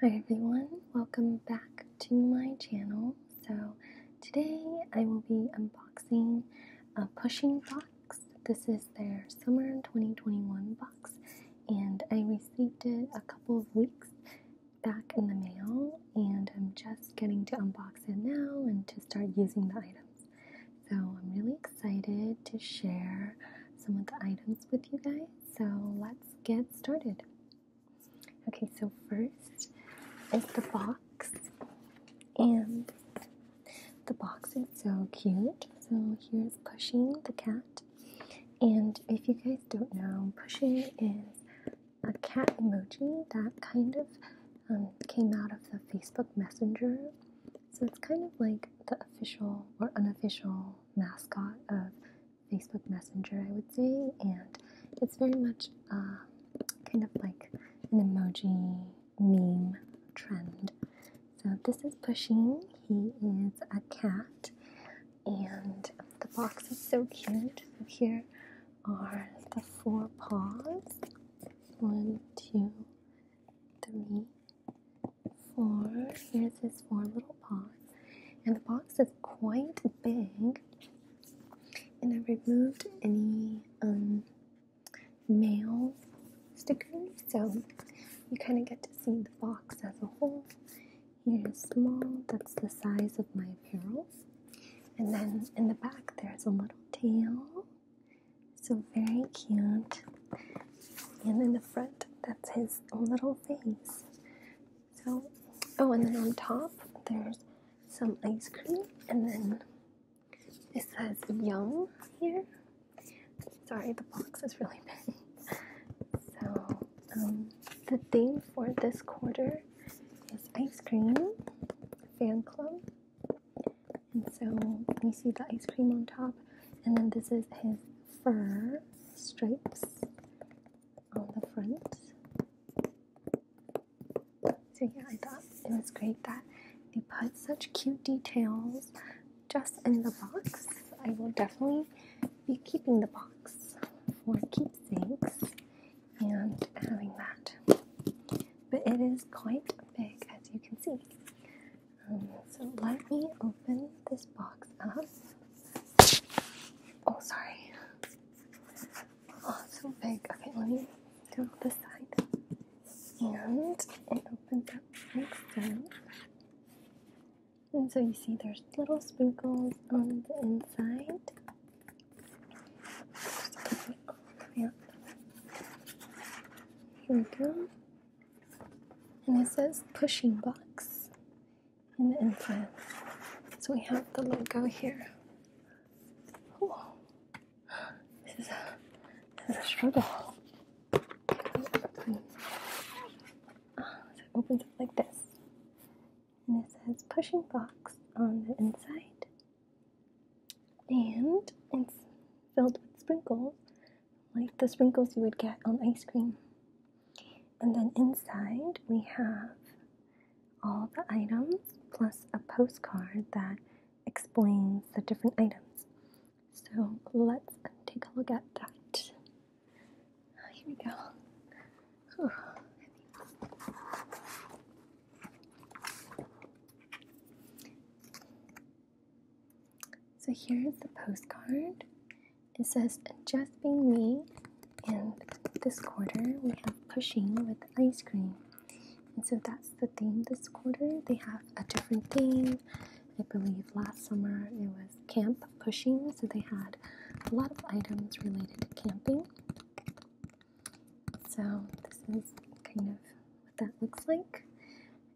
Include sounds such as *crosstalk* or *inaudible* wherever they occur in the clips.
Hi everyone, welcome back to my channel. So today I will be unboxing a Pushing box. This is their summer 2021 box and I received it a couple of weeks back in the mail and I'm just getting to unbox it now and to start using the items. So I'm really excited to share some of the items with you guys so let's get started. Okay, so first is the box, and the box is so cute. So here's Pushing the cat, and if you guys don't know, Pushing is a cat emoji that kind of um, came out of the Facebook Messenger. So it's kind of like the official or unofficial mascot of Facebook Messenger, I would say, and it's very much um, kind of like an emoji meme trend. So this is Pushing. He is a cat, and the box is so cute. So here are the four paws. One, two, three, floor. Here's his four little paws, And the box is quite big. And I removed any um, mail stickers, so you kind of get to see the box as a whole. Here is small, that's the size of my apparel. And then in the back, there's a little tail. So very cute. And in the front, that's his little face. So, oh, and then on top there's some ice cream, and then it says Young here. Sorry, the box is really big. So, um, the theme for this quarter is ice cream fan club. And so we see the ice cream on top, and then this is his fur stripes on the front. So yeah, I thought it was great that they put such cute details just in the box. I will definitely be keeping the box for keepsakes and having that. But it is quite big as you can see. So let me open this box up. Oh, sorry. Oh, so big. Okay, let me do this side. And it opens up so. And so you see there's little sprinkles on the inside. Just Here we go and it says pushing box in the inside, So we have the logo here. This is a, this struggle. so it opens up like this. And it says pushing box on the inside. And it's filled with sprinkles like the sprinkles you would get on ice cream. And then inside we have all the items plus a postcard that explains the different items. So let's take a look at that. Ah, here we go. So here's the postcard. It says just being me and this quarter we have pushing with ice cream. And so that's the theme this quarter. They have a different theme. I believe last summer it was camp pushing, so they had a lot of items related to camping. So this is kind of what that looks like.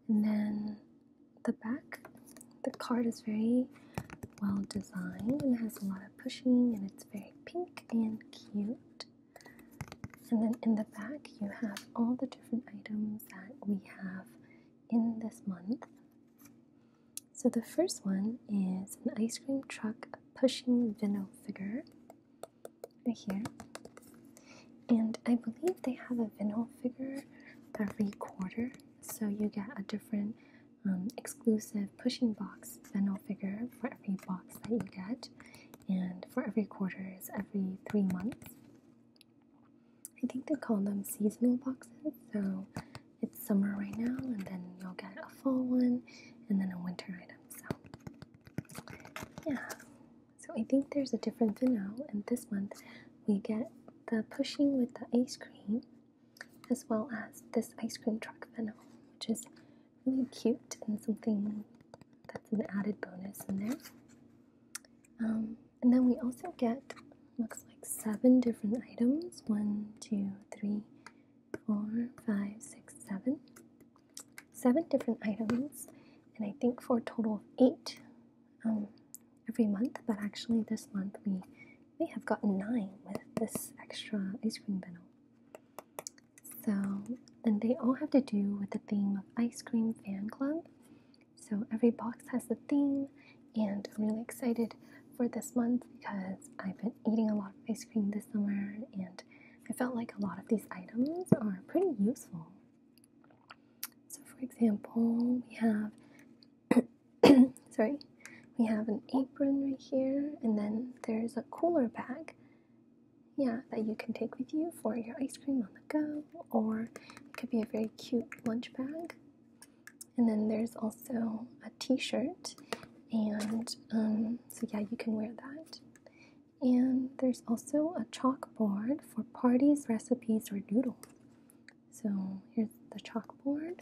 And then the back. The card is very well designed and has a lot of pushing and it's very pink and cute. And then in the back you have all the different items that we have in this month. So the first one is an ice cream truck pushing vinyl figure right here. And I believe they have a vinyl figure every quarter so you get a different um, exclusive pushing box Venno figure for every box that you get, and for every quarter is every three months. I think they call them seasonal boxes, so it's summer right now, and then you'll get a fall one and then a winter item. So, yeah, so I think there's a different Venno, and this month we get the pushing with the ice cream as well as this ice cream truck venom, which is really cute and something that's an added bonus in there. Um, and then we also get looks like seven different items one, two, three, four, five, six, seven. Seven different items, and I think for a total of eight um, every month, but actually this month we may have gotten nine with this extra ice cream bento. So, and they all have to do with the theme of ice cream fan club. So every box has a theme, and I'm really excited for this month because I've been eating a lot of ice cream this summer, and I felt like a lot of these items are pretty useful. So, for example, we have *coughs* sorry, we have an apron right here, and then there's a cooler bag. Yeah, that you can take with you for your ice cream on the go, or it could be a very cute lunch bag. And then there's also a T-shirt, and um, so yeah, you can wear that. And there's also a chalkboard for parties, recipes, or doodles. So here's the chalkboard,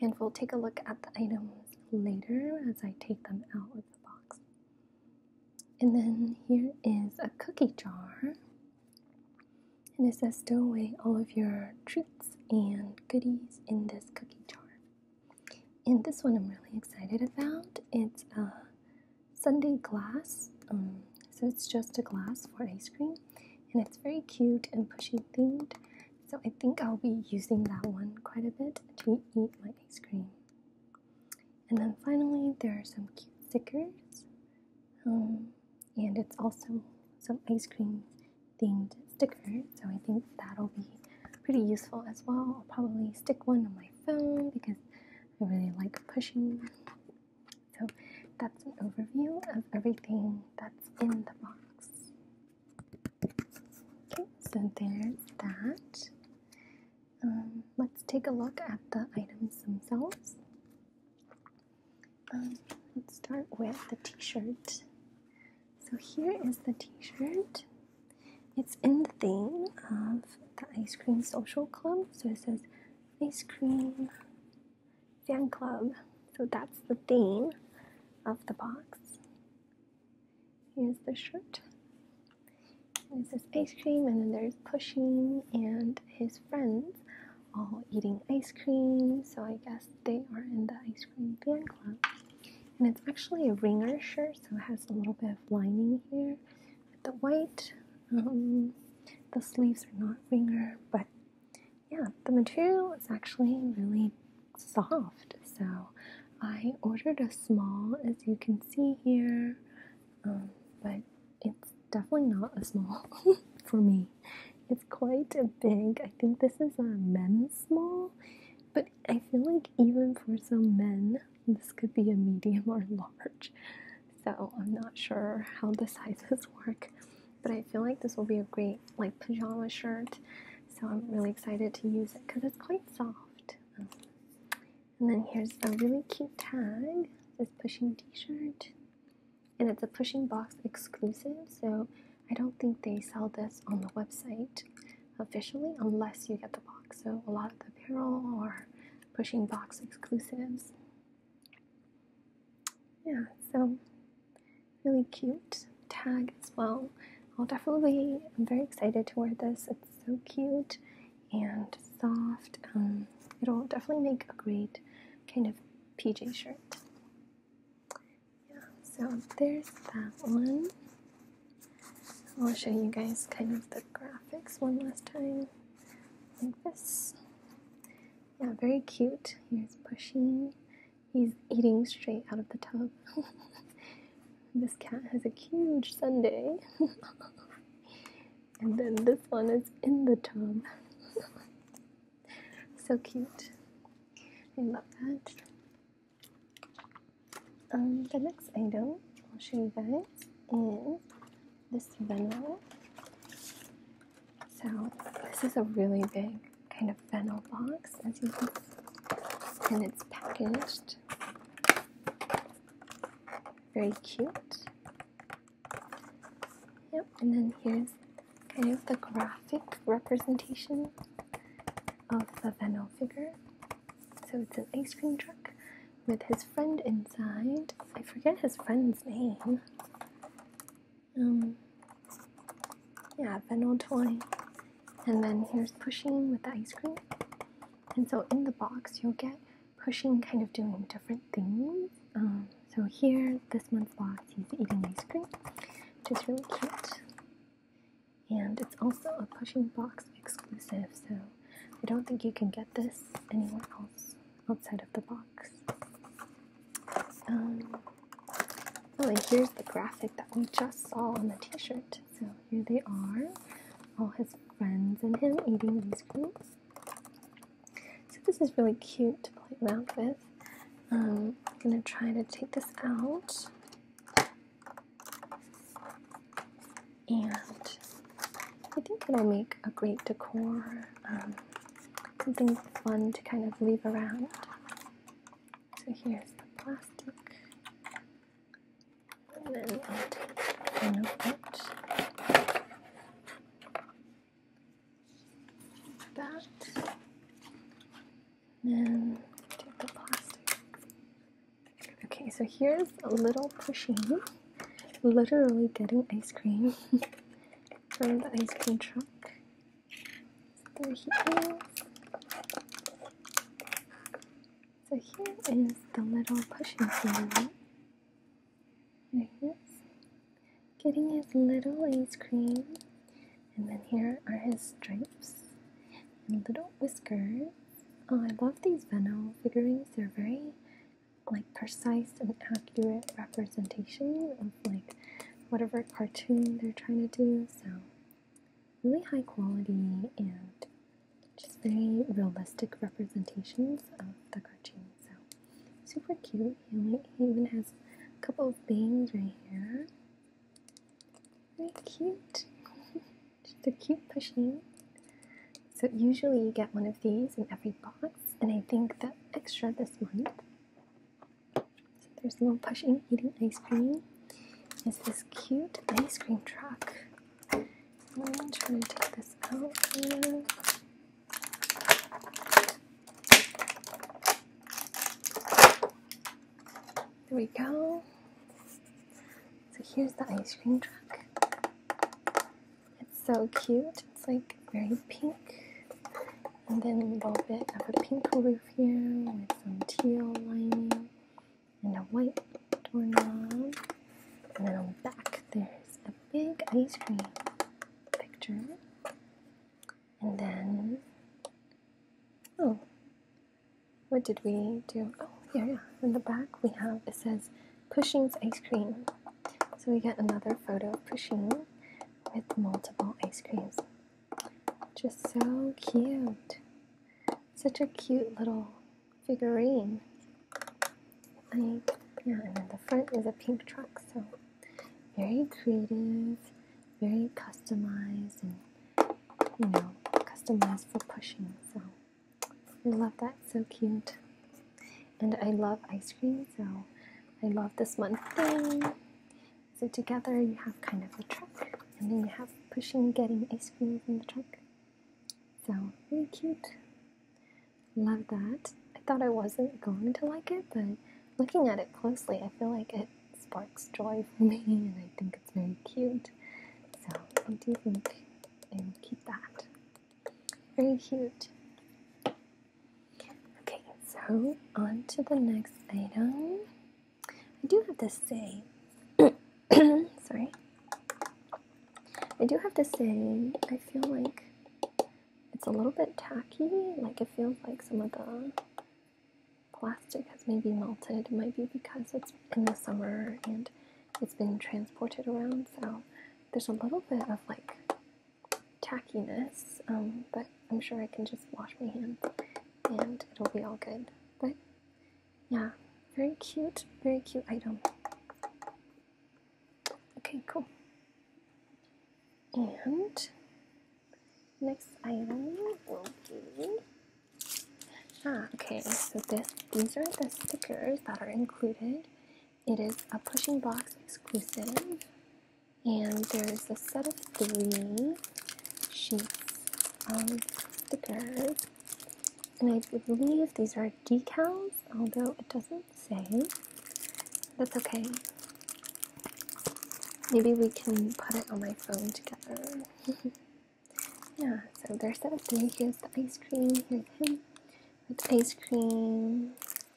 and we'll take a look at the items later as I take them out of the box. And then here is a cookie jar, and it says stow away all of your treats and goodies in this cookie jar. And this one I'm really excited about. It's a Sunday glass. Um, so it's just a glass for ice cream, and it's very cute and pushy themed. So I think I'll be using that one quite a bit to eat my ice cream. And then finally, there are some cute stickers, um, and it's also some ice cream themed sticker. So I think that'll be pretty useful as well. I'll probably stick one on my phone because I really like pushing so that's an overview of everything that's in the box. Okay, so there's that. Um, let's take a look at the items themselves. Um, let's start with the t-shirt. So here is the t-shirt. It's in the theme of the Ice Cream Social Club. So it says Ice cream fan club. So that's the theme of the box. Here's the shirt. It says ice cream, and then there's pushing and his friends all eating ice cream. So I guess they are in the ice cream fan club. And it's actually a ringer shirt, so it has a little bit of lining here the white. Um, the sleeves are not ringer, but yeah, the material is actually really soft. So I ordered a small, as you can see here, um, but it's definitely not a small *laughs* for me. It's quite a big. I think this is a men's small, but I feel like even for some men, this could be a medium or *laughs* large so I'm not sure how the *laughs* sizes work, but I feel like this will be a great like pajama shirt. So I'm really excited to use it because it's quite soft. and then here's a really cute tag. This pushing T-shirt, and it's a pushing box exclusive. So I don't think they sell this on the website officially unless you get the box. So a lot of the apparel are pushing box exclusives yeah, so really cute tag as well. I'll definitely, I'm very excited to wear this. It's so cute and soft. Um, it'll definitely make a great kind of PJ shirt. Yeah, so there's that one. I'll show you guys kind of the graphics one last time like this. Yeah, very cute. He's Pushy. He's eating straight out of the tub. *laughs* this cat has a huge sundae. *laughs* and then this one is in the tub. *laughs* so cute. I love that. Um, the next item I'll show you guys is this fennel. So this is a really big kind of fennel box, as you can see, and it's packaged. Very cute. Yep, and then here's kind of the graphic representation of the fennel figure. So it's an ice cream truck with his friend inside. I forget his friend's name. Um, yeah, Venal Toy. And then here's Pushing with the ice cream. And so in the box, you'll get Pushing kind of doing different things. Um, so here, this month's box, he's eating ice cream, which is really cute. And it's also a Pushing box exclusive, so I don't think you can get this anywhere else outside of the box. Um, oh, and here's the graphic that we just saw on the t-shirt. So here they are, all his friends and him eating these fruits. So this is really cute to play around with. Um, I'm going to try to take this out and I think it'll make a great decor, um, something fun to kind of leave around. So here's the plastic, and then I'll take one of That, then take the plastic. Okay, so here's a little pushing literally getting ice cream *laughs* from the ice cream truck. There he is. So here is the little pushing scenario. There he is, getting his little ice cream. And then here are his stripes and little whiskers. Oh, I love these Veno figurines. They're very like precise and accurate representation of like whatever cartoon they're trying to do. So really high quality and just very realistic representations of the cartoon. So super cute. He, even has a couple of bangs right here. Very cute. *laughs* just a cute pushing. So usually you get one of these in every box, and I think that extra this month. So there's a little pushing eating ice cream. Is this cute ice cream truck? I'm trying to take this out There we go. So here's the ice cream truck. It's so cute. It's like very pink. And then a little bit of a pink roof here with some teal lining and a white doorknob. And then on the back there's a big ice cream picture. And then, oh, what did we do? Oh, yeah, yeah. In the back we have, it says Cushing's ice cream. So we get another photo pushing with multiple ice creams. Just so cute. Such a cute little figurine. I, yeah, and then the front is a pink truck, so very creative, very customized, and you know, customized for pushing. So I love that, so cute. And I love ice cream, so I love this one thing. So together you have kind of the truck, and then you have pushing getting ice cream from the truck. So really cute. Love that. I thought I wasn't going to like it, but looking at it closely, I feel like it sparks joy for me, *laughs* and I think it's very cute. So I do think I will keep that. Very cute. Okay, so on to the next item. I do have to say, *coughs* sorry. I do have to say, I feel like it's a little bit tacky. Like it feels like some of the plastic has maybe melted. It might be because it's in the summer and it's been transported around, so there's a little bit of like tackiness, um, but I'm sure I can just wash my hands and it'll be all good. But yeah, very cute, very cute item. Okay, cool. And next item will be Ah, okay, so this these are the stickers that are included. It is a pushing box exclusive, and there's a set of three sheets of stickers. And I believe these are decals, although it doesn't say. That's okay. Maybe we can put it on my phone together. *laughs* Yeah, so there's that three. Here's the ice cream. Here's him with ice cream.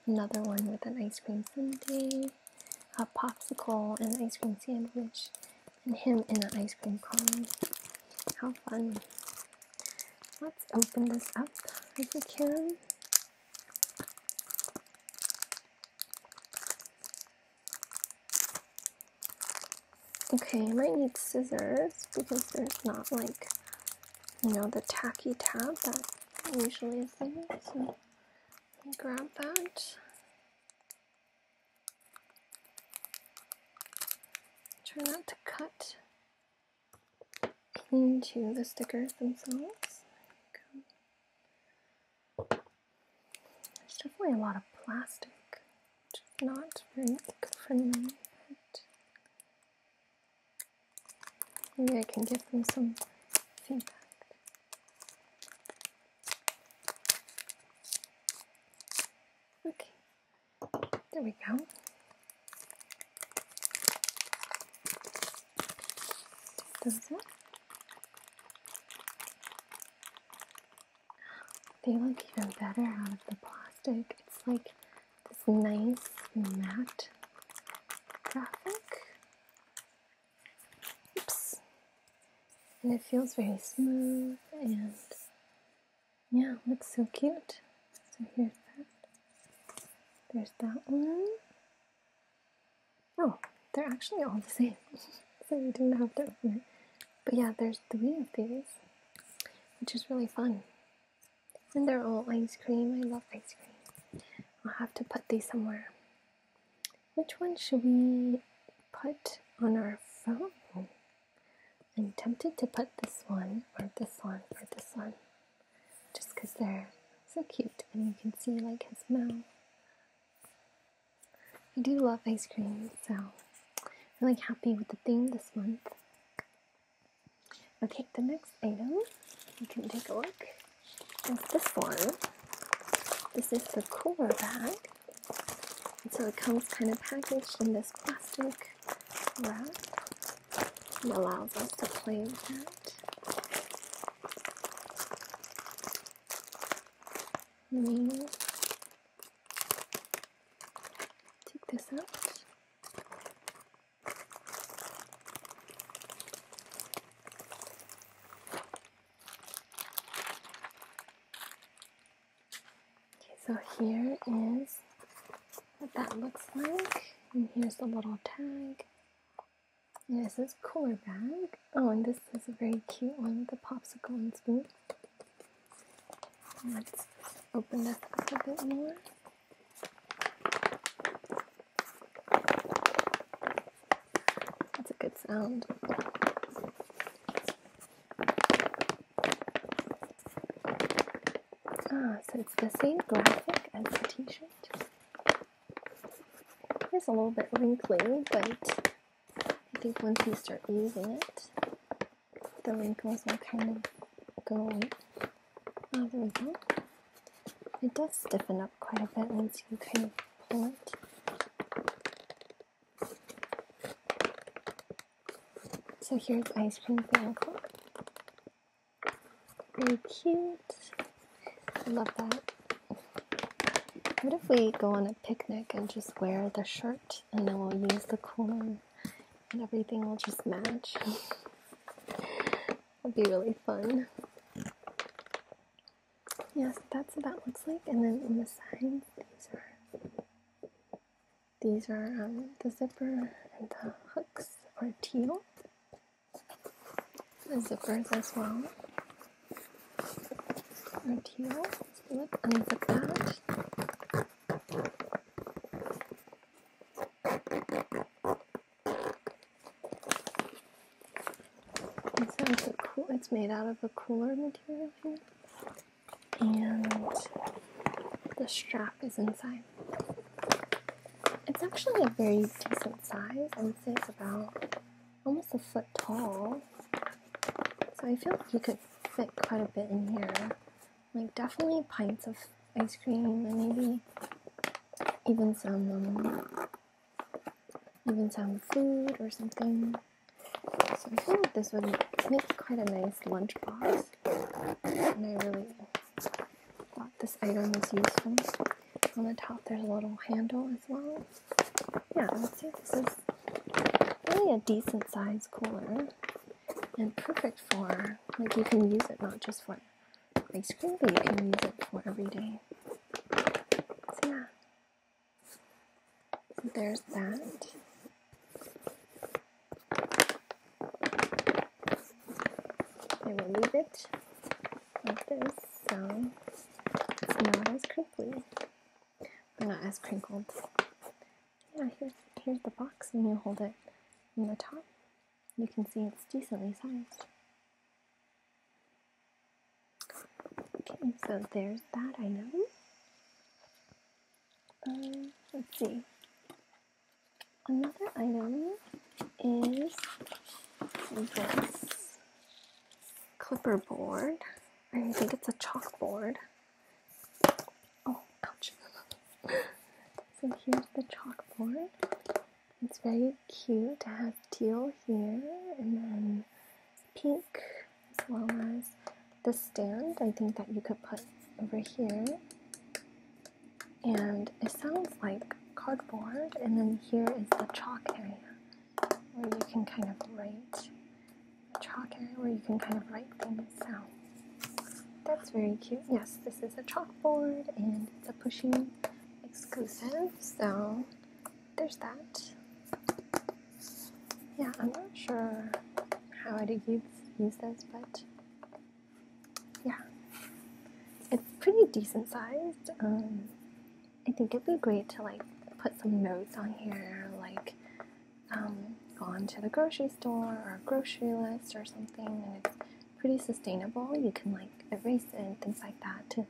Another one with an ice cream sundae. A popsicle and an ice cream sandwich. And him in an ice cream cone. How fun. Let's open this up if we can. Okay, I might need scissors because there's not like, you know, the tacky tab that usually is there. So grab that. Try not to cut into the stickers themselves. There's definitely a lot of plastic not very good for them. Maybe I can give them some feedback. Okay, there we go. Does it? They look even better out of the plastic. It's like this nice matte graphic. Oops. And it feels very smooth and yeah, looks so cute. So here's that. There's that one. Oh, they're actually all the same. *laughs* so we do not have to open it. But yeah, there's three of these, which is really fun. And they're all ice cream. I love ice cream. I'll have to put these somewhere. Which one should we put on our phone? I'm tempted to put this one, or this one, or this one. Just because they're so cute and you can see like his mouth. I do love ice cream, so really happy with the theme this month. Okay, the next item you can take a look is this one. This is the cooler bag. so it comes kind of packaged in this plastic wrap. It allows us to play with that. I Take this out. Okay, so here is what that looks like, and here's the little tag. And this is cooler bag. Oh, and this is a very cute one, the popsicle and spoon. Let's open up a bit more. That's a good sound. Ah, so it's the same graphic as the t-shirt. It's a little bit wrinkly, but I think once you start using it, the wrinkles will kind of go away. Oh, there we go. It does stiffen up quite a bit once you kind of pull it. So here's ice cream ankle. Very cute. I love that. What if we go on a picnic and just wear the shirt? and then we'll use the corn and everything will just match. It'll be really fun. Yes, that's what that looks like. And then on the sides, these are these are um, the zipper and the hooks are teal. The zippers as well are teal. So let's unzip that it's made out of a cooler material here, and the strap is inside. It's actually a very decent size. I would say it's about almost a foot tall. So I feel like you could fit quite a bit in here. Like definitely pints of ice cream and maybe even some um, even some food or something. So I feel like this would make quite a nice lunch box. And I really thought this item was useful. On the top there's a little handle as well. Yeah, let's see if this is really a decent size cooler and perfect for like you can use it not just for ice cream, but you can use it for every day. So yeah, there's that. I will leave it like this so it's not as crinkly. They're not as crinkled. Yeah, here's here's the box, and you hold it on the top. You can see it's decently sized. Okay, so there's that. item. Um, let's see. Another item is this clipper board. I think it's a chalkboard. Oh, ouch. *laughs* so here's the chalkboard. It's very cute. It have teal here and then pink as well as the stand I think that you could put over here. And it sounds like cardboard and then here is the chalk area where you can kind of write chalk area where you can kind of write things out. That's very cute. Yes, this is a chalkboard and it's a pushing exclusive, so there's that. Yeah, I'm not sure how I'd use, use this, but yeah, it's pretty decent sized. Um, I think it'd be great to like put some notes on here, like um, gone to the grocery store or a grocery list or something, and it's pretty sustainable. You can like erase it and things like that to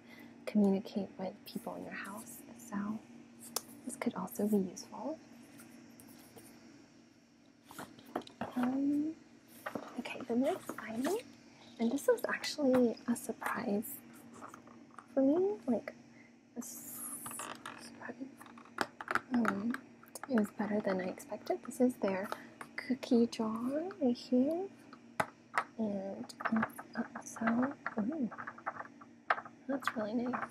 communicate with people in your house. So this could also be useful. Um, okay, the next item, and this was actually a surprise for me. Like it was better than I expected. This is their cookie jar right here. And uh, uh that's really nice.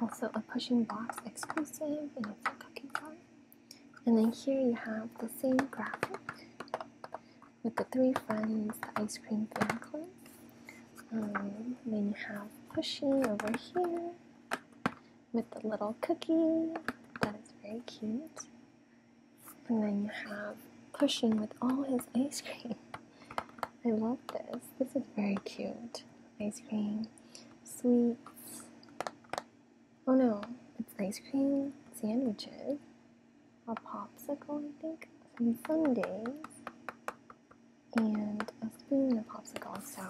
Also, a pushing box exclusive, and it's a cookie jar. And then here you have the same graphic with the Three Friends the Ice Cream Fan um, then you have Pushy over here with the little cookie. That is very cute. And then you have Pushing with all his ice cream. *laughs* I love this. This is very cute. Ice cream, sweets. Oh no, it's ice cream sandwiches a popsicle, I think, some sundaes, and a spoon and a popsicle. So,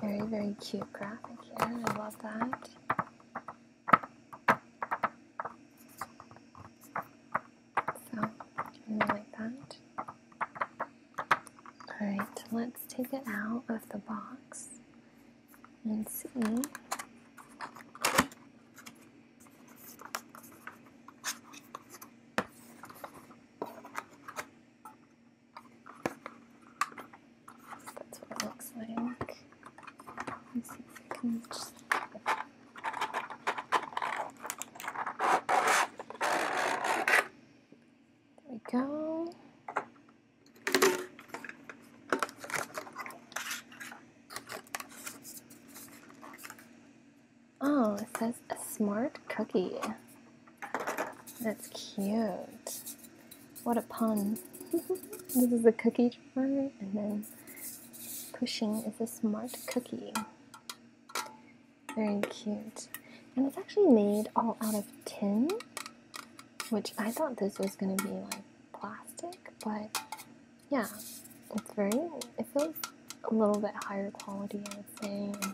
very, very cute graphic here. I love that. So, I like that. Alright, let's take it out of the box and see that's what it looks like. Let me see if I can just there we go. Oh, it says a smart cookie. That's cute. What a pun. *laughs* this is a cookie jar, and then pushing is a smart cookie. Very cute. And it's actually made all out of tin, which I thought this was going to be like plastic, but yeah, it's very, it feels a little bit higher quality, I would say.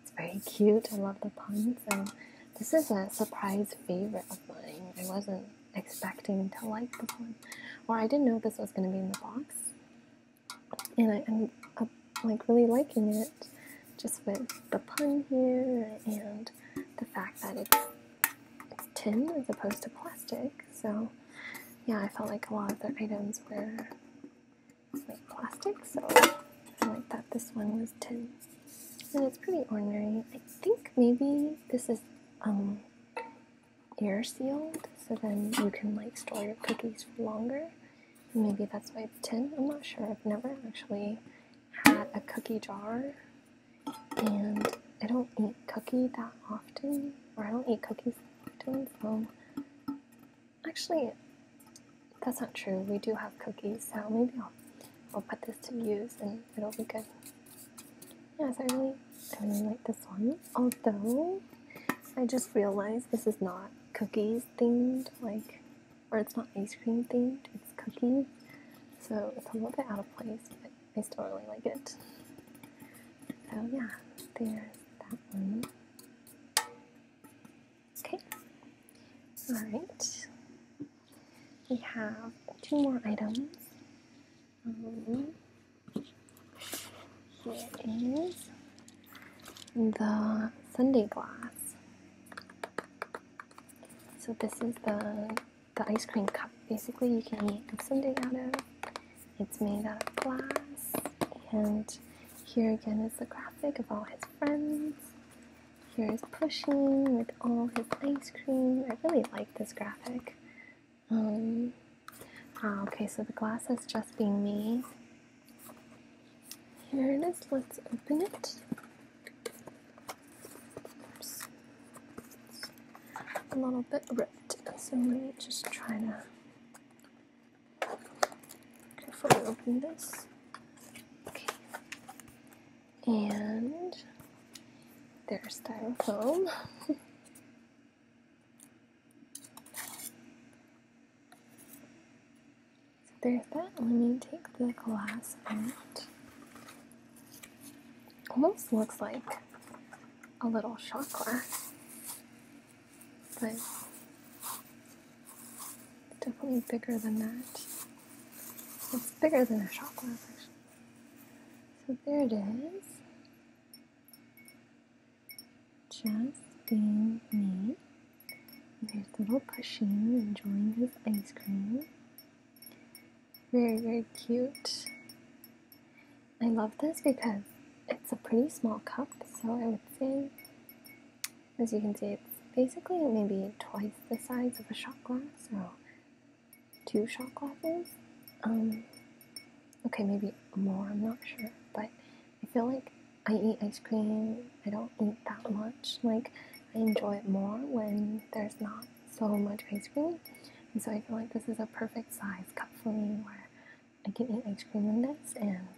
it's very cute. I love the puns. And this is a surprise favorite of mine. I wasn't expecting to like this one, or I didn't know this was going to be in the box. And I, am like really liking it, just with the pun here and the fact that it's, it's tin as opposed to plastic. So yeah, I felt like a lot of the items were like plastic, so I like that this one was tin. And it's pretty ordinary. I think maybe this is um, air sealed, so then you can like store your cookies for longer. Maybe that's why it's tin. I'm not sure. I've never actually had a cookie jar, and I don't eat cookie that often, or I don't eat cookies Actually, that's not true. We do have cookies, so maybe I'll, I'll put this to use and it'll be good. Yes, I really, I really like this one. Although, I just realized this is not cookies themed, like, or it's not ice cream themed, it's cookies. So it's a little bit out of place, but I still really like it. So yeah, there's that one. Okay. Alright. We have two more items. Um, here is the Sunday glass. So this is the the ice cream cup. Basically, you can eat a sundae out of. It's made out of glass, and here again is the graphic of all his friends. Here is pushing with all his ice cream. I really like this graphic. Um, ah, okay, so the glass is just being made. Here it is. Let's open it a little bit ripped so let me just try to carefully open this okay and there's styrofoam *laughs* there's that. Let me take the glass out almost looks like a little chakra, but definitely bigger than that. It's bigger than a chakra, actually. So there it is. Just being me. There's little Pusheen enjoying his ice cream. Very, very cute. I love this because it's a pretty small cup, so I would say, as you can see, it's basically maybe twice the size of a shot glass, so two shot glasses. Um, okay, maybe more, I'm not sure, but I feel like I eat ice cream, I don't eat that much. Like, I enjoy it more when there's not so much ice cream. And so I feel like this is a perfect size cup for me where I can eat ice cream in this and,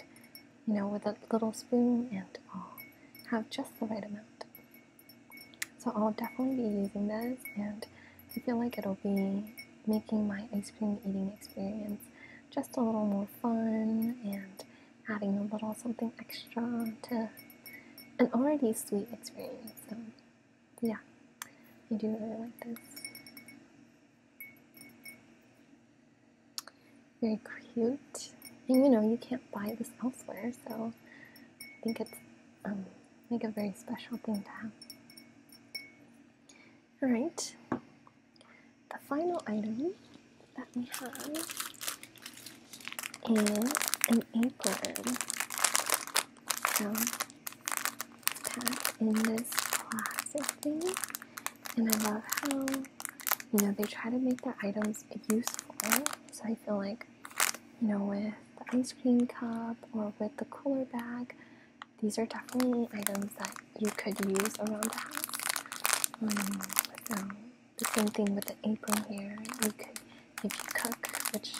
you know, with a little spoon and all, have just the right amount. So I'll definitely be using this and I feel like it'll be making my ice cream eating experience just a little more fun and adding a little something extra to an already sweet experience yeah, I do really like this. Very cute. And you know, you can't buy this elsewhere, so I think it's um, like a very special thing to have. Alright, the final item that we have is an apron. So packed in this classic thing. And I love how, you know, they try to make the items useful. So I feel like, you know, with the ice cream cup or with the cooler bag, these are definitely items that you could use around the house. Um, so the same thing with the apron here. You could, if you cook, which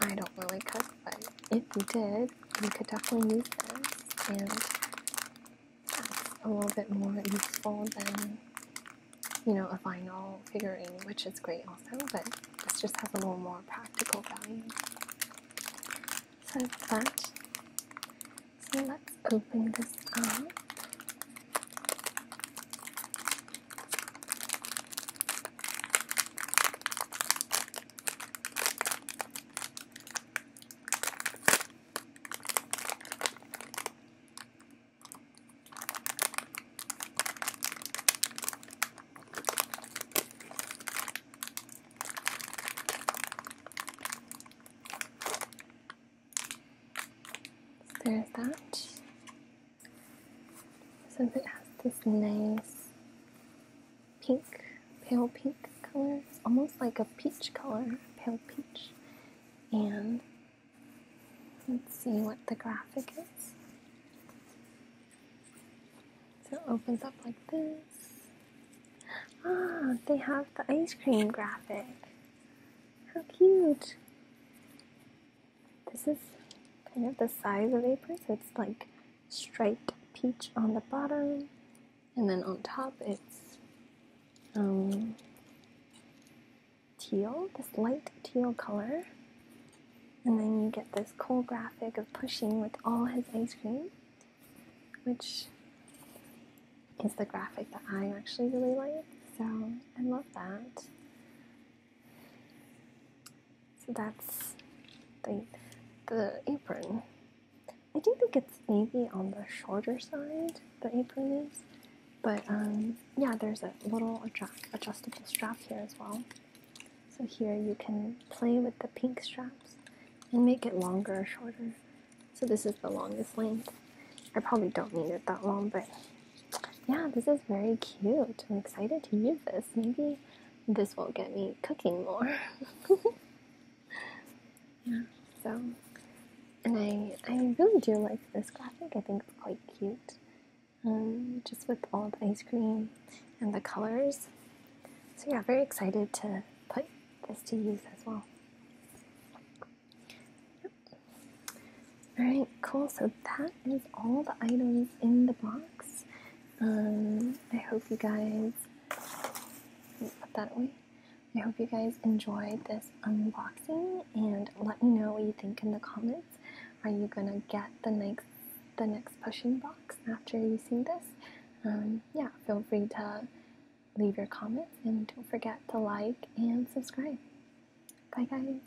I don't really cut, but if you did, you could definitely use this, and that's a little bit more useful than, you know, a vinyl figurine, which is great also, but this just has a little more practical value. So that. So let's open this up. There's that. So it has this nice pink, pale pink color. It's almost like a peach color, pale peach. And let's see what the graphic is. So it opens up like this. Ah, they have the ice cream graphic. How cute! This is kind of the size of apron, so it's like striped peach on the bottom, and then on top it's um, teal, this light teal color. And then you get this cool graphic of pushing with all his ice cream, which is the graphic that I actually really like. So I love that. So that's the, the apron. I do think it's maybe on the shorter side, the apron is. But um, yeah, there's a little adjustable strap here as well. So here you can play with the pink straps and make it longer or shorter. So this is the longest length. I probably don't need it that long, but yeah, this is very cute. I'm excited to use this. Maybe this will get me cooking more. yeah. So, and I I really do like this graphic. I think it's quite cute. Um, just with all the ice cream and the colors. So yeah, very excited to put this to use as well. Yep. All right, cool. So that is all the items in the box. Um, I hope you guys put that away. I hope you guys enjoyed this unboxing and let me know what you think in the comments. Are you gonna get the next the next pushing box after you see this? Um, yeah, feel free to leave your comments and don't forget to like and subscribe. Bye guys.